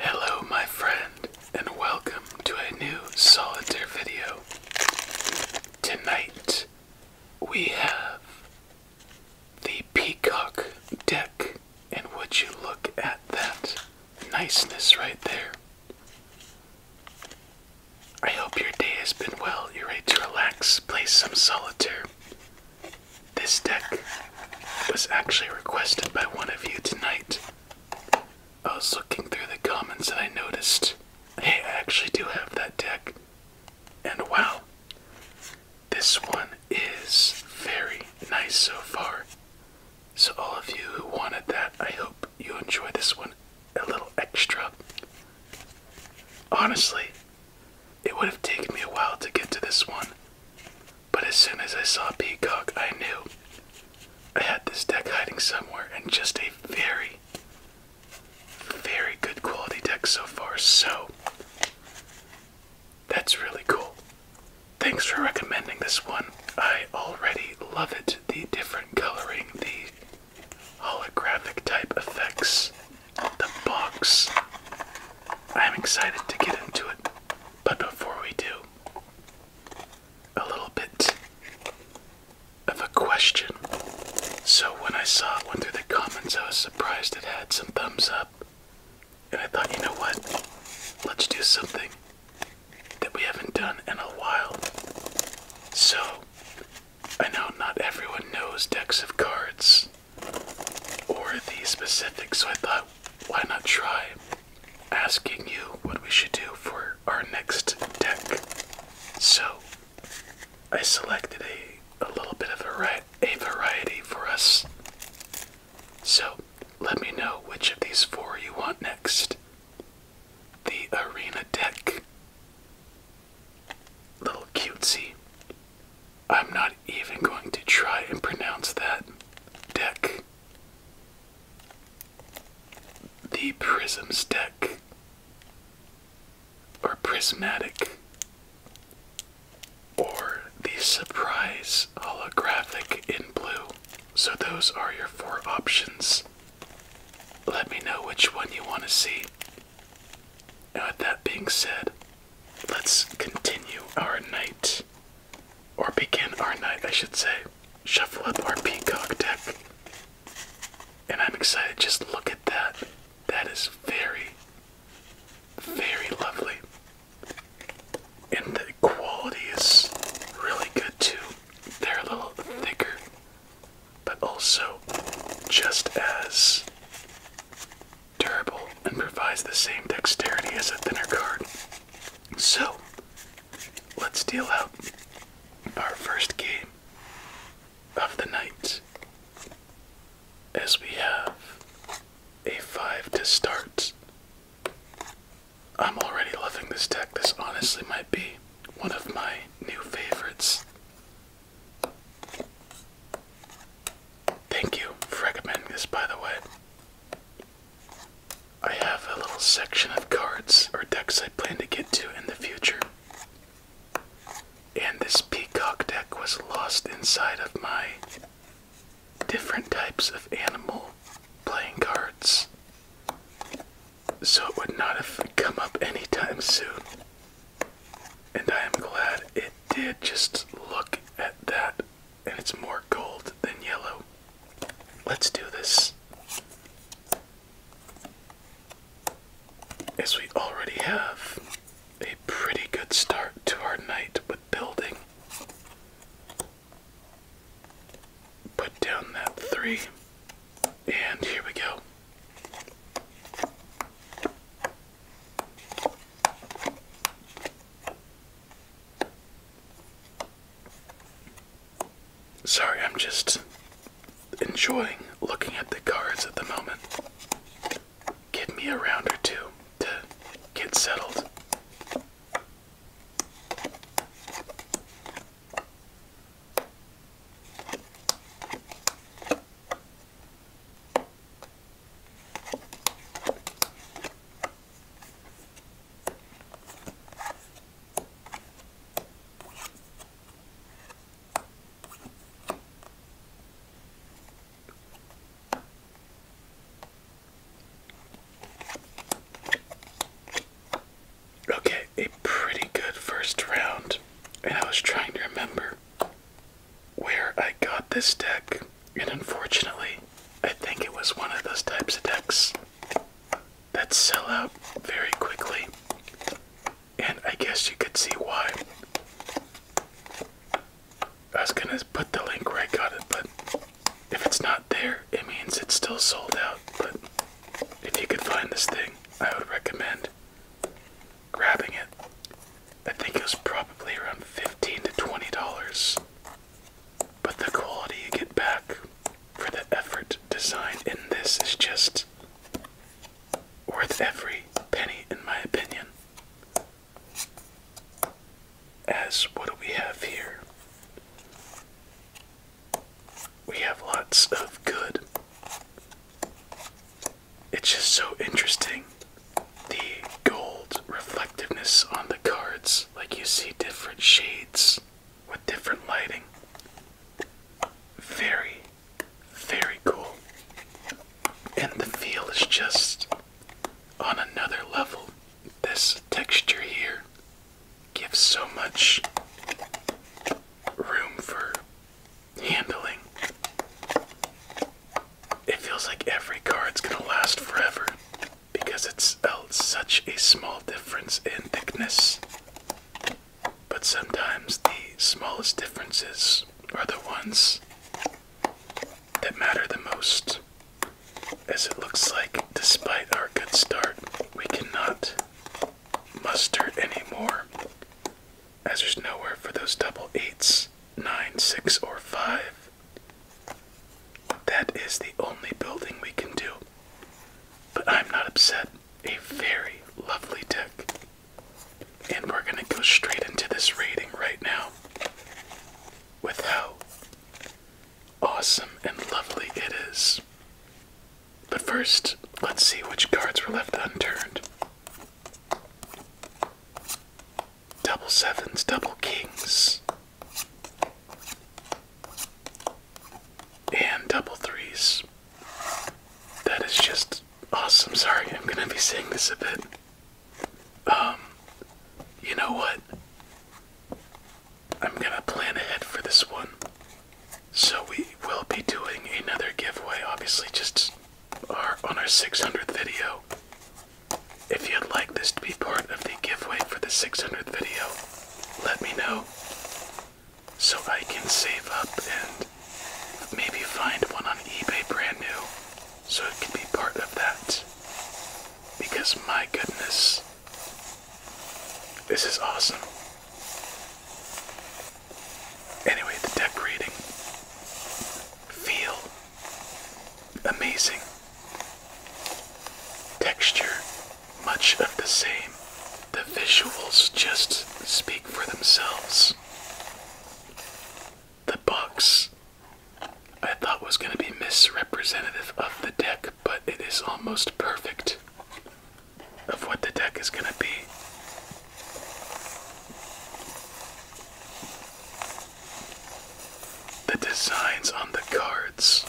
Hello, my friend, and welcome to a new solitaire video. Tonight we have the Peacock deck, and would you look at that niceness right there? I hope your day has been well. You're ready to relax, play some solitaire, this deck was actually requested by one of you tonight. I was looking through the comments and I noticed hey, I actually do have that deck. And wow, this one is very nice so far. So, all of you who wanted that, I hope you enjoy this one a little extra. Honestly, it would have taken me a while to get to this one, but as soon as I saw Peacock, I knew I had this deck hiding somewhere and just a very, very good quality deck so far, so that's really cool. Thanks for recommending this one. I already love it. The different coloring, the holographic type effects the box. I'm excited to get into it, but before we do, a little bit of a question. So, when I saw it went through the comments, I was surprised it had some thumbs up. And I thought, you know what? Let's do something that we haven't done in a while. So, I know not everyone knows decks of cards or the specifics, so I thought, why not try asking you what we should do for our next deck? So I selected a, a little bit of a, a variety for us. So let me know which of these four you want next. The arena deck. Little cutesy. I'm not even going to try and pronounce that deck. The Prism's deck. Or prismatic. Or the surprise holographic in blue. So, those are your four options. Let me know which one you want to see. Now, with that being said, Let's continue our night, or begin our night, I should say. Shuffle up our peacock deck. And I'm excited. Just look at that. That is very, very lovely. And the quality is really good too. They're a little thicker, but also just as durable and provides the same dexterity as a thinner card. So, let's deal out our first game of the night as we have a 5 to start. I'm already loving this deck. This honestly might be one of my new favorites. Thank you for recommending this, by the way. I have a little section of cards or decks I plan to get to in the future. And this peacock deck was lost inside of my different types of animal playing cards. So it would not have come up anytime soon. And I am glad it did. Just look at that, and it's more gold than yellow. Let's do this. As we already have a pretty good start to our night with building. Put down that three, and here we go. Sorry, I'm just enjoying looking at the cards at the moment. Give me a round or two to get settled. Okay, a pretty good first round, and I was trying to remember where I got this deck, and unfortunately, I think it was one of those types of decks that sell out very quickly, and I guess you could see why. I was gonna put the link where I got it, but if it's not there, it means it's still sold out. But if you could find this thing, I would recommend grabbing it. I think it was probably around fifteen to twenty dollars. But the quality you get back for the effort design in this is just worth every penny, in my opinion. As what do we have here? We have lots of good it's just so interesting the gold reflectiveness on the cards. Like you see different shades with different lighting. Very, very cool. And the feel is just on another level. This texture here gives so much room for handling. It feels like every card's gonna last forever because it's uh, such a small difference in thickness. But sometimes the smallest differences are the ones that matter the most. As it looks like, despite our good start, we cannot muster any more as there's nowhere for those double eights, nine, six, or five. That is the only building we can do. But I'm not upset. A very lovely deck. And we're going to go straight into this rating right now with how awesome and lovely it is. But first, let's see which cards were left unturned. Double sevens, double kings, and double threes. That is just awesome. Sorry, I'm gonna be saying this a bit. Um, you know what? I'm gonna plan ahead for this one. So we will be doing another giveaway, obviously, just are on our 600th video. If you'd like this to be part of the giveaway for the 600th video, let me know so I can save up and maybe find one on eBay brand new so it can be part of that. Because my goodness, this is awesome. Anyway, the deck reading. Feel amazing. Texture much of the same. The visuals just speak for themselves. The box I thought was going to be misrepresentative of the deck, but it is almost perfect of what the deck is going to be. The designs on the cards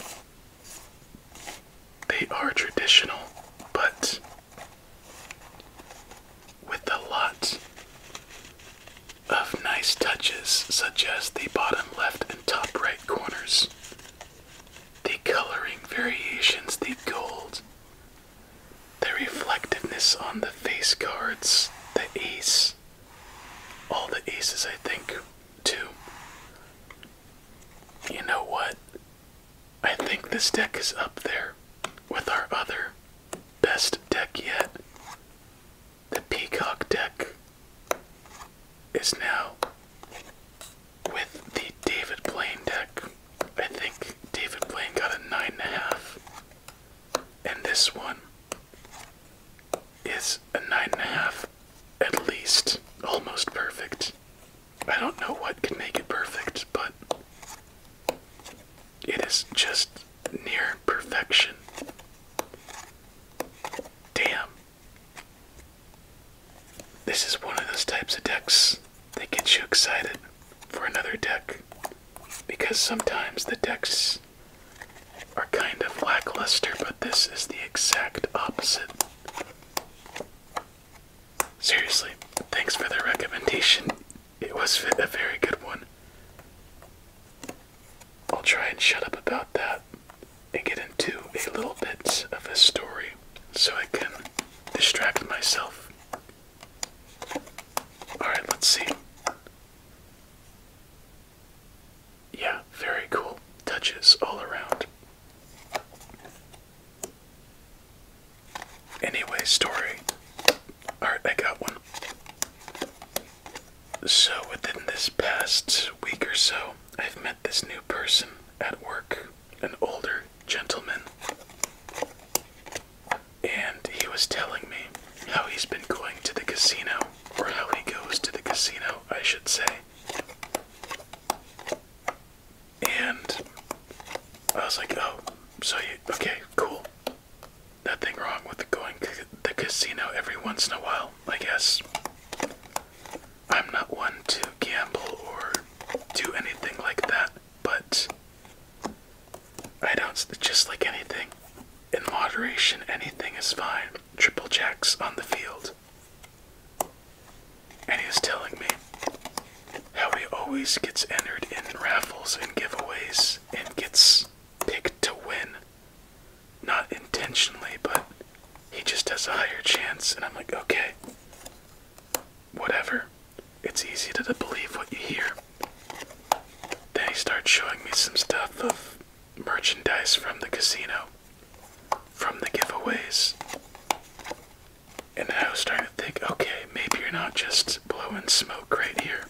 they are traditional but with a lot of nice touches such as the bottom left and top right corners the coloring variations the gold the reflectiveness on the face cards, the ace, all the aces, I think, too. You know what? I think this deck is up there with our other best deck yet. The Peacock deck is now with the David Blaine deck I think David Blaine got a nine and a half, and this one is a nine and a half, at least, almost perfect. I don't know what could make it perfect, but it is just near perfection. Damn. This is one of those types of decks that gets you excited for another deck because sometimes the decks are kind of lackluster, but this is the exact opposite. Seriously, thanks for the recommendation. It was a very good one. I'll try and shut up about that and get into a little bit of a story so I can distract myself Alright, let's see. Yeah, very cool. Touches all around. Anyway, story. Alright, I got one. So, within this past week or so, I've met this new person at work, an older gentleman and he was telling me how he's been going to the casino, or how he goes to the casino, I should say. And I was like, oh, so you, okay, cool. Nothing wrong with going to the casino every once in a while, I guess. I'm not one to gamble or do anything like that but I don't, just like anything, in moderation, anything is fine. Triple jacks on the field. And he was telling me how he always gets entered in raffles and giveaways and gets picked to win. Not intentionally, but he just has a higher chance. And I'm like, okay, whatever it's easy to believe what you hear. Then he starts showing me some stuff of merchandise from the casino, from the giveaways. And I was starting to think, okay, maybe you're not just blowing smoke right here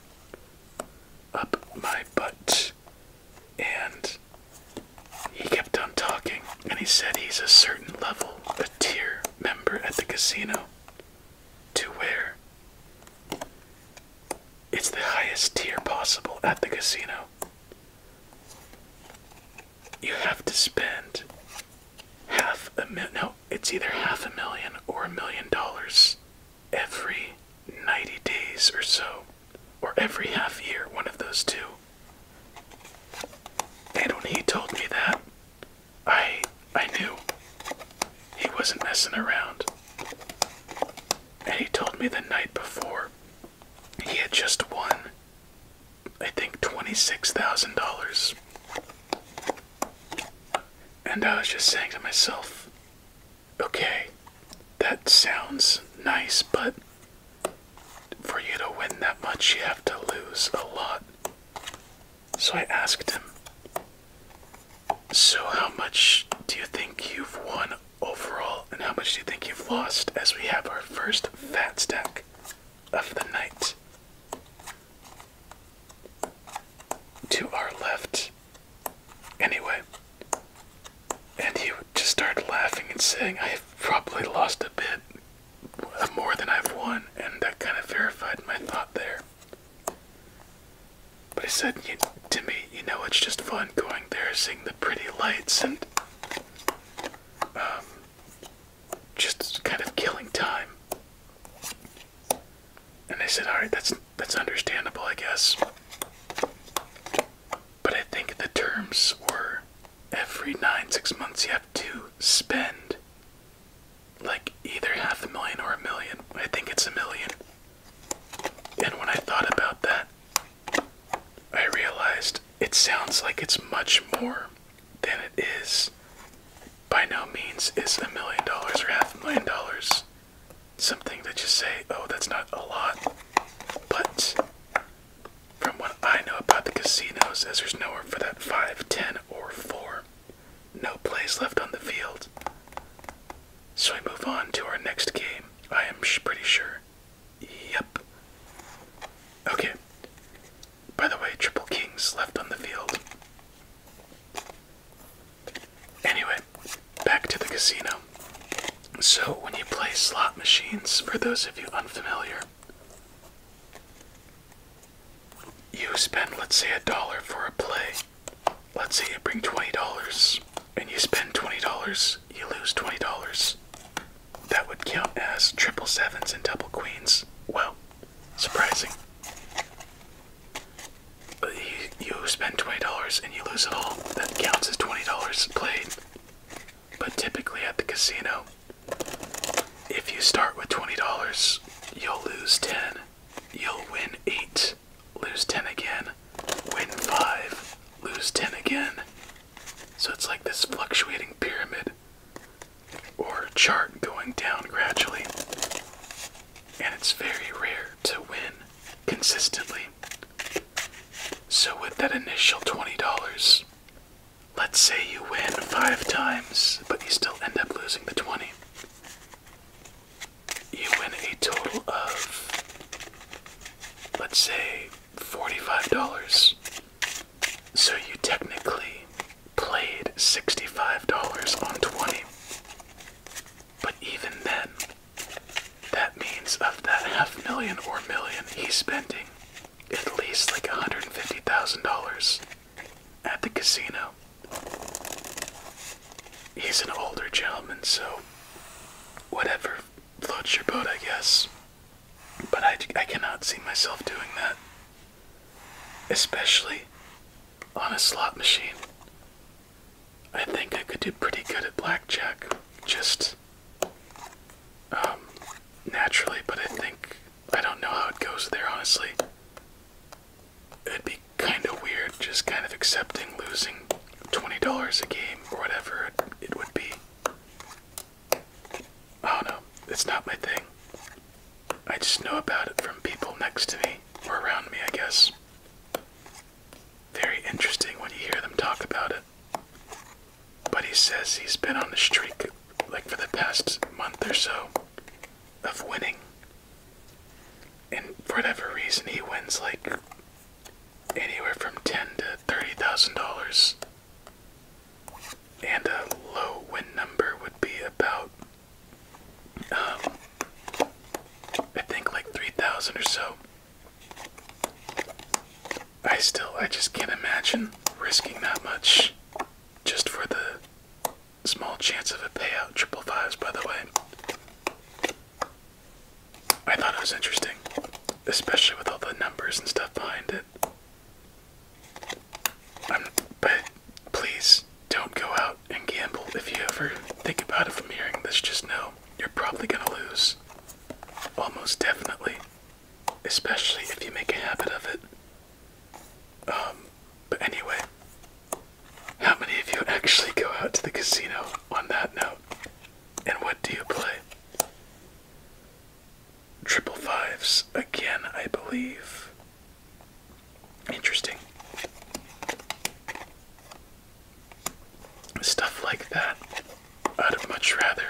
up my butt. And he kept on talking, and he said he's a certain level, a tier member at the casino to where it's the highest tier possible at the casino. You have to spend half a million, no, it's either half a million or a million dollars every 90 days or so, or every half year, one of those two. And when he told me that, I I knew he wasn't messing around. And he told me the night before he had just won I think $26,000. And I was just saying to myself, okay, that sounds nice, but for you to win that much, you have to lose a lot. So I asked him, So, how much do you think you've won overall, and how much do you think you've lost? As we have our first fat stack of the night. To our left, anyway. And he would just start laughing and saying, I have probably lost a bit more than I've won, and that kind of verified my thought there. But he said to me, you know, it's just fun going there, seeing the pretty lights, and um, just kind of killing time. And I said, all right, that's that's understandable, I guess. But I think the terms were every nine, six months you have to spend like either half a million or a million. I think it's a million. And when I thought about that, I realized it sounds like it's much more than it is. By no means is a million dollars or half a million dollars something that you say, oh, that's not a lot. But from what I know about the casinos, as there's nowhere for that five, ten, or four. No plays left on the field. So we move on to our next game. I am pretty sure. Yep. Okay. By the way, triple kings left on the field. Anyway, back to the casino. So, when you play slot machines, for those of you unfamiliar, you spend, let's say, a dollar for a play. Let's say you bring $20 and you spend $20, you lose $20. That would count as triple sevens and double queens. Well, surprising. You, spend $20 and you lose it all. That counts as $20 played. But typically at the casino, if you start with $20, you'll lose 10, you'll win 8, lose 10 again, win 5, lose 10 again. So it's like this fluctuating pyramid or chart going down gradually. And it's very rare to win consistently. So, with that initial $20, Let's say you win five times, but you still end up losing the 20. You win a total of, let's say, $45. So you technically played $65 on 20. But even then, that means of that half million or million he's spending at least like $150,000 at the casino. He's an older gentleman, so whatever floats your boat, I guess. But I, I cannot see myself doing that. Especially on a slot machine. I think I could do pretty good at blackjack, just um, naturally, but I think I don't know how it goes there, honestly. It'd be kind of weird just kind of accepting losing $20 a game or whatever it, would be. I don't know. It's not my thing. I just know about it from people next to me or around me, I guess. Very interesting when you hear them talk about it. But he says he's been on the streak like for the past month or so of winning. And for whatever reason, he wins like anywhere from ten to thirty thousand dollars. And a low win number would be about, um, I think like three thousand or so. I still, I just can't imagine risking that much just for the small chance of a payout. Triple fives, by the way. I thought it was interesting, especially with all the numbers and stuff behind it. but please don't go out and gamble. If you ever think about it from hearing this, just know you're probably gonna lose. Almost definitely especially if you make a habit of it. Um, but anyway, how many of you actually go out to the casino on that note? And what do you play? Triple fives again, I believe. Interesting. Stuff like that. I'd much rather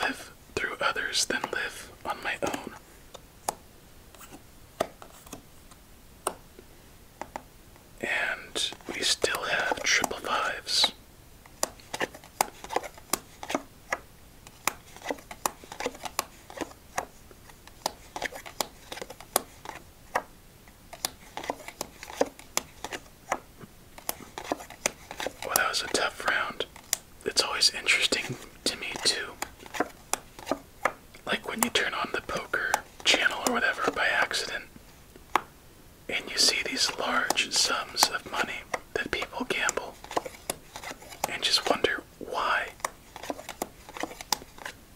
live through others than live on my own. And we still have triple fives. Well, that was a tough round it's always interesting to me too. Like when you turn on the poker channel or whatever by accident, and you see these large sums of money that people gamble, and just wonder why.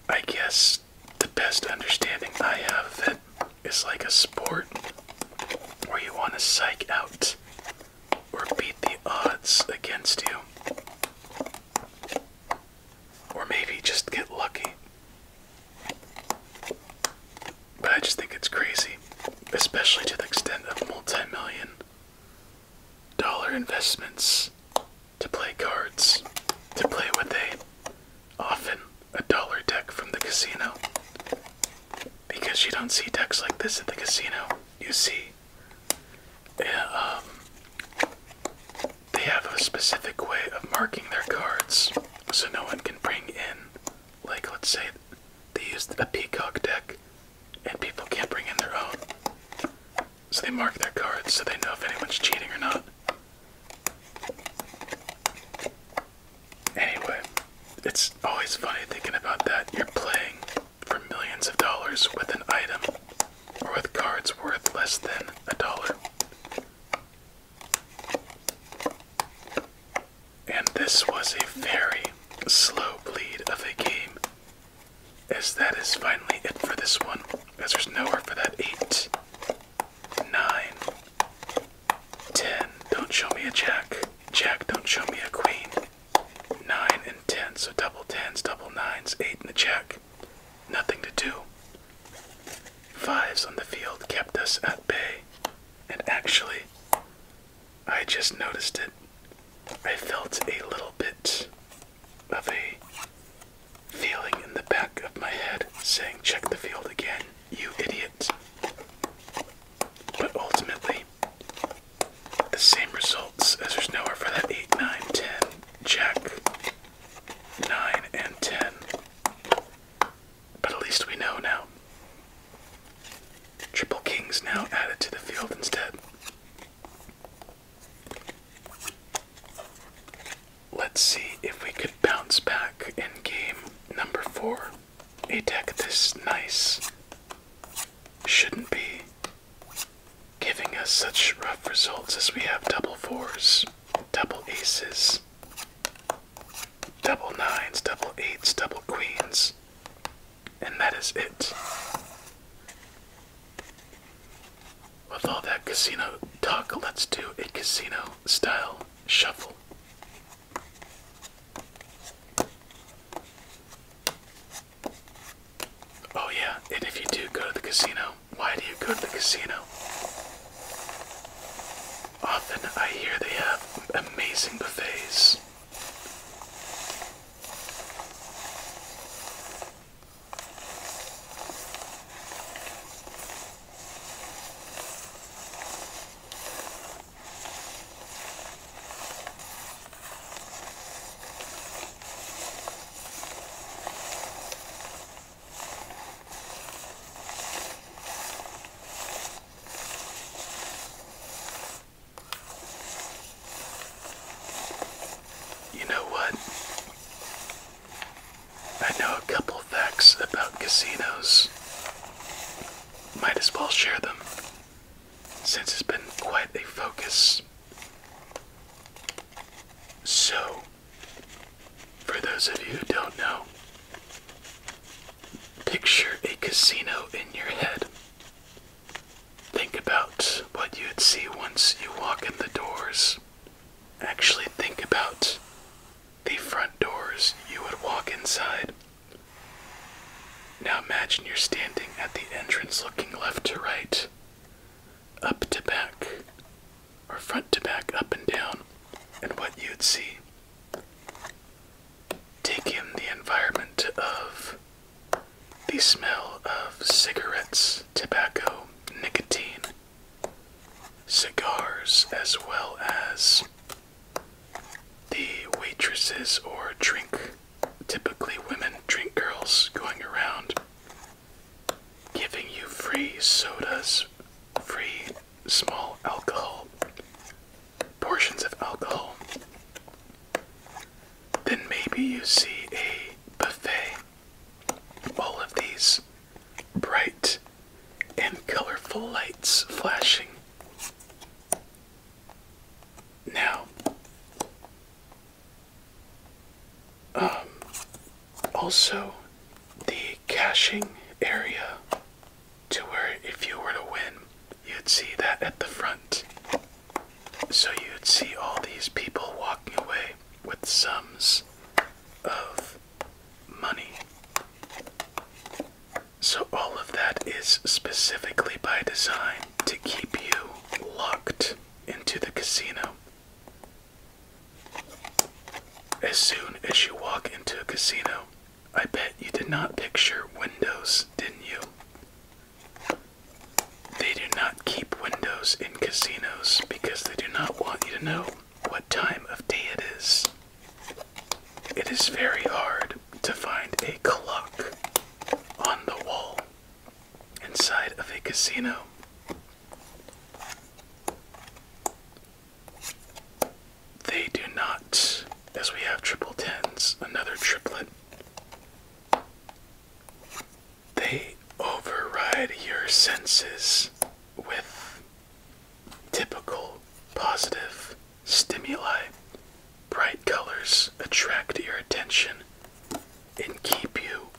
I guess the best understanding I have that is like a sport where you want to psych out or beat the odds against you. Or maybe just get lucky. But I just think it's crazy, especially to the extent of multi million dollar investments to play cards, to play with a often a dollar deck from the casino because you don't see decks like this at the casino. You see, um, they have a specific way of marking their cards, so no one can bring in, like, let's say they use a peacock deck, and people can't bring in their own. So they mark their cards so they know if anyone's cheating or not. Anyway, it's always funny thinking about that. You're playing for millions of dollars with an item or with cards worth less than a dollar. And this was a very slow bleed of a game, as that is finally it for this one, as there's nowhere for that 8, 9, 10, don't show me a jack, jack, don't show me a queen. 9 and 10. So double 10s, double 9s, 8 in the check. Nothing to do. Fives on the field kept us at bay. And actually, I just noticed it. I felt a little bit of a feeling in the back of my head saying, check the field again, you idiot. But ultimately, the same results as there's nowhere for that 8, 9, 10, check, 9, and 10. But at least we know now. Triple kings now added to the field instead. Let's see if we could bounce back in game number four a deck this nice shouldn't be giving us such rough results as we have double fours, double aces, double nines, double eights, double queens, and that is it. With all that casino talk, let's do a casino style shuffle. Oh, yeah, and if you do go to the casino, why do you go to the casino? Often I hear they have amazing buffets. You know what? I know a couple facts about casinos. Might as well share them since it's been quite a focus. So, for those of you who don't know, picture a casino in your head. Think about what you'd see once you walk in the doors. Actually, think about the front doors you would walk inside. Now imagine you're standing at the entrance looking left to right, up to back, or front to back, up and down, and what you'd see. Take in the environment of the smell of cigarettes, tobacco, nicotine, cigars, as well as the waitresses or drink, typically women drink girls going around giving you free sodas, free small alcohol, portions of alcohol. Then maybe you see a buffet. All of these bright and colorful lights flashing. Now, um, also the caching area to where if you were to win, you'd see that at the front. So you'd see all these people walking away with sums of money. So, all of that is specifically by design to keep you locked into the casino. As soon as you walk into a casino, I bet you did not picture windows, didn't you? They do not keep windows in casinos because they do not want you to know what time of day it is. It is very hard to find a clock on the wall inside of a casino. They do not, as we have triple tens, another triplet. They override your senses with Typical positive stimuli. Bright colors attract your attention and keep you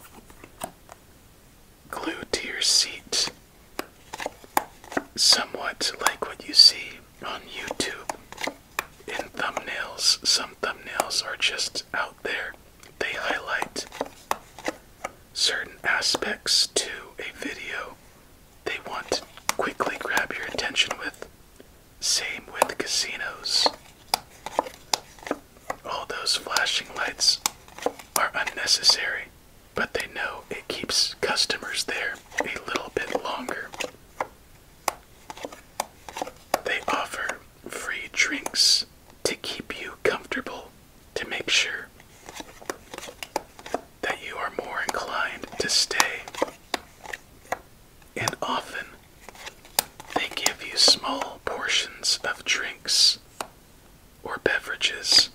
glued to your seat. Somewhat like what you see on YouTube in thumbnails. Some thumbnails are just out there, they highlight certain aspects to a video they want to quickly grab your attention with. Same with casinos. All those flashing lights are unnecessary, but they know it keeps customers there a little bit longer. They offer free drinks to keep you comfortable to make sure that you are more inclined to stay, and often they give you small portions of drinks or beverages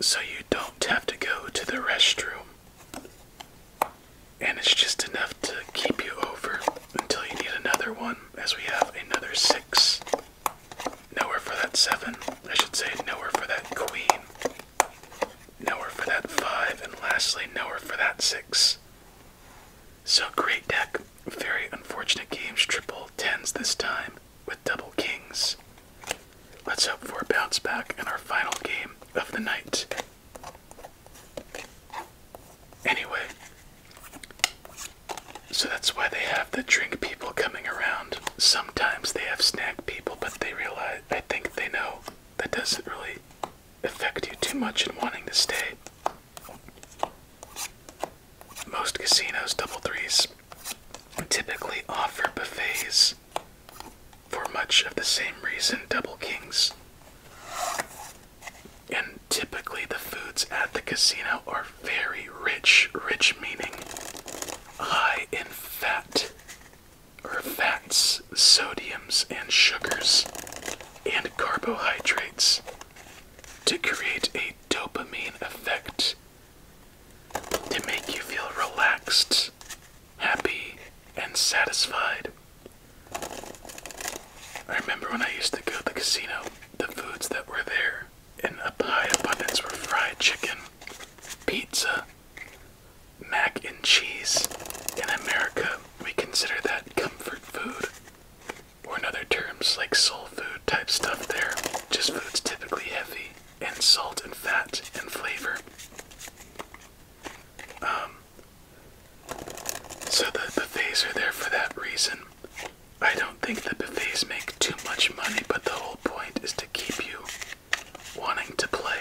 so you don't have to go to the restroom. And it's just enough to keep you over until you need another one, as we have another six. Nowhere for that seven. I should say, nowhere for that queen nowhere for that five, and lastly, nowhere for that six. So great deck, very unfortunate games, triple tens this time with double kings. Let's hope for a bounce back in our final game of the night. Anyway, so that's why they have the drink people coming around. Sometimes they have snack people, but they realize, I think they know that doesn't really affect you too much in wanting to stay. Most casinos, double threes, typically offer buffets for much of the same reason double kings. And typically, the foods at the casino are very rich, rich meaning high in fat, or fats, sodiums, and sugars, and carbohydrates to create a dopamine effect to make you feel relaxed, happy, and satisfied. I remember when I used to go to the casino, the foods that were there in a high abundance were fried chicken, pizza, mac and cheese. In America, we consider that comfort food, or in other terms, like soul food type stuff, there, just foods typically heavy in salt and fat and flavor. Um, so the buffets are there for that reason. I don't think the buffets make too much money, but the whole point is to keep you wanting to play.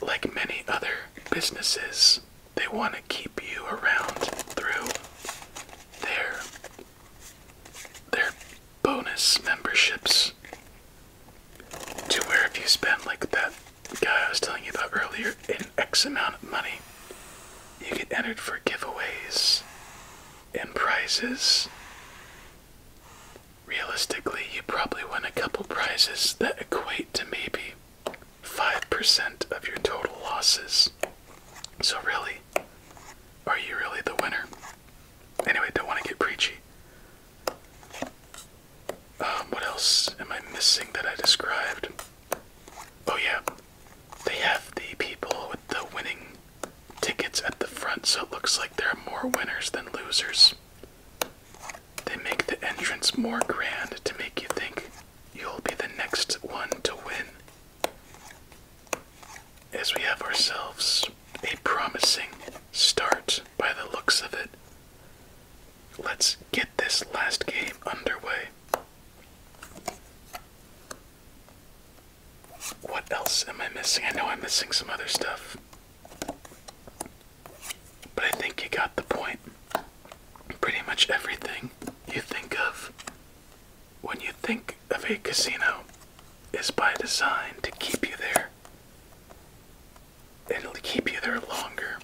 Like many other businesses, they want to keep you around through their their bonus memberships. To where if you spend like that guy I was telling you about earlier an X amount of money, you get entered for giveaways and prizes, realistically, you probably win a couple prizes that equate to maybe 5% of your total losses. So, really, are you really the winner? Anyway, don't want to get preachy. Um, what else am I missing that I described? Oh, yeah. They have the people with the winning tickets at the front, so it looks like there are more winners than losers. They make the entrance more grand to make you think you'll be the next one to win. As we have ourselves a promising start by the looks of it, let's get this last game underway. What else am I missing? I know I'm missing some other stuff. But I think you got the point. Pretty much everything you think of when you think of a casino is by design to keep you there. and It'll keep you there longer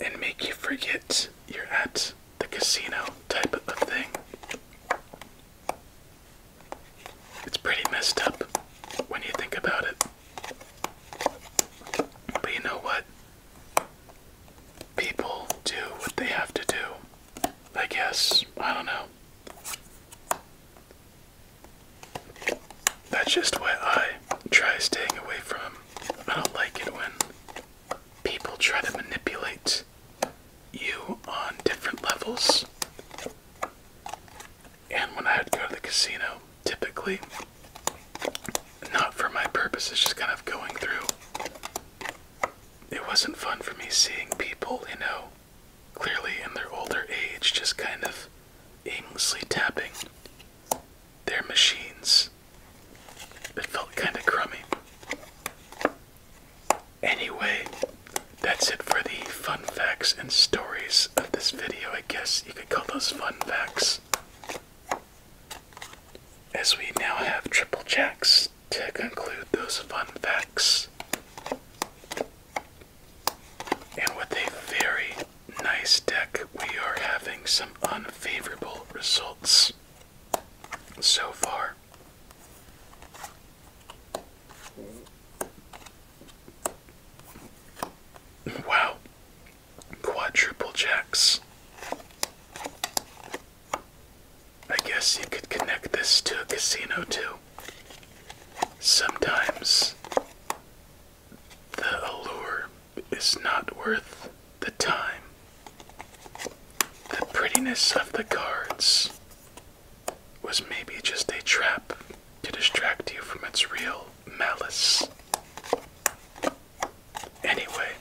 and make you forget you're at the casino type of thing. It's pretty messed up when you think about it. But you know what? People do what they have to do. I guess. I don't know. That's just what I try staying away from. I don't like it when people try to manipulate you on different levels. And when I had to go to the casino, typically, not for my purposes, just kind of going through. It wasn't fun for me seeing people, you know, clearly in their older age, just kind of aimlessly tapping their machines. It felt kind of crummy. Anyway, that's it for the fun facts and stories of this video. I guess you could call those fun facts. As we now have triple jacks to conclude those fun facts. And with a very nice deck, we are having some unfavorable results so far. Wow. Quadruple jacks. I guess you could connect this to a casino too. Sometimes the allure is not worth the time the prettiness of the cards was maybe just a trap to distract you from its real malice. Anyway,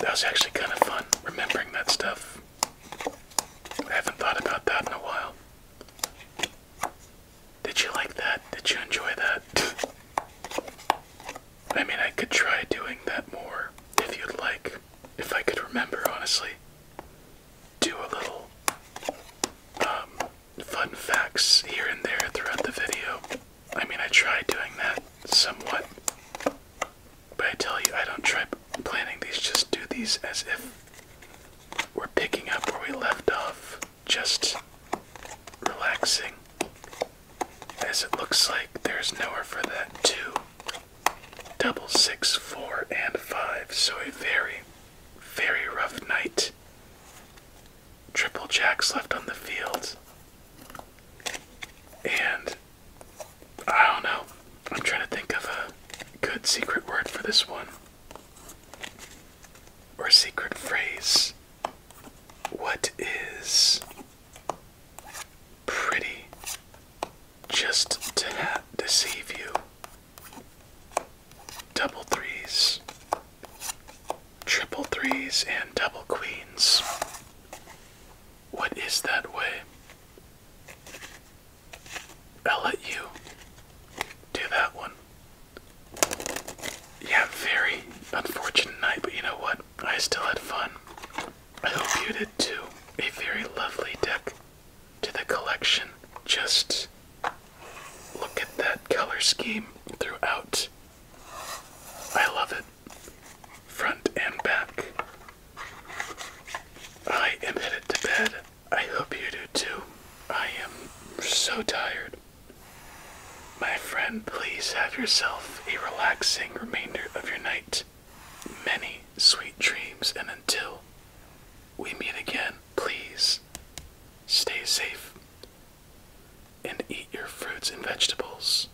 that was actually kind of fun remembering that stuff. I haven't thought about that in a while. Did you like that? Did you enjoy that? I mean, I could try doing that more if you'd like. If I could remember, honestly, do a little um, fun facts here and there throughout the video. I mean, I try doing that somewhat, but I tell you, I don't try planning these, just do these as if we're picking up where we left off, just relaxing as it looks like there's nowhere for that two, double six, four, and five. So a very, very rough night. Triple jacks left on the field. And I don't know. I'm trying to think of a good secret word for this one. Or secret phrase. What is pretty just to deceive you. Double threes, triple threes, and double queens. What is that way? I'll let you do that one. Yeah, very unfortunate night, but you know what? I still had fun. I hope you did too. A very lovely deck to the collection. Just look at that color scheme throughout. I love it. Front and back. I am headed to bed. I hope you do too. I am so tired. My friend, please have yourself a relaxing remainder of your night. Many sweet dreams, and until we meet again, please stay safe and eat your fruits and vegetables.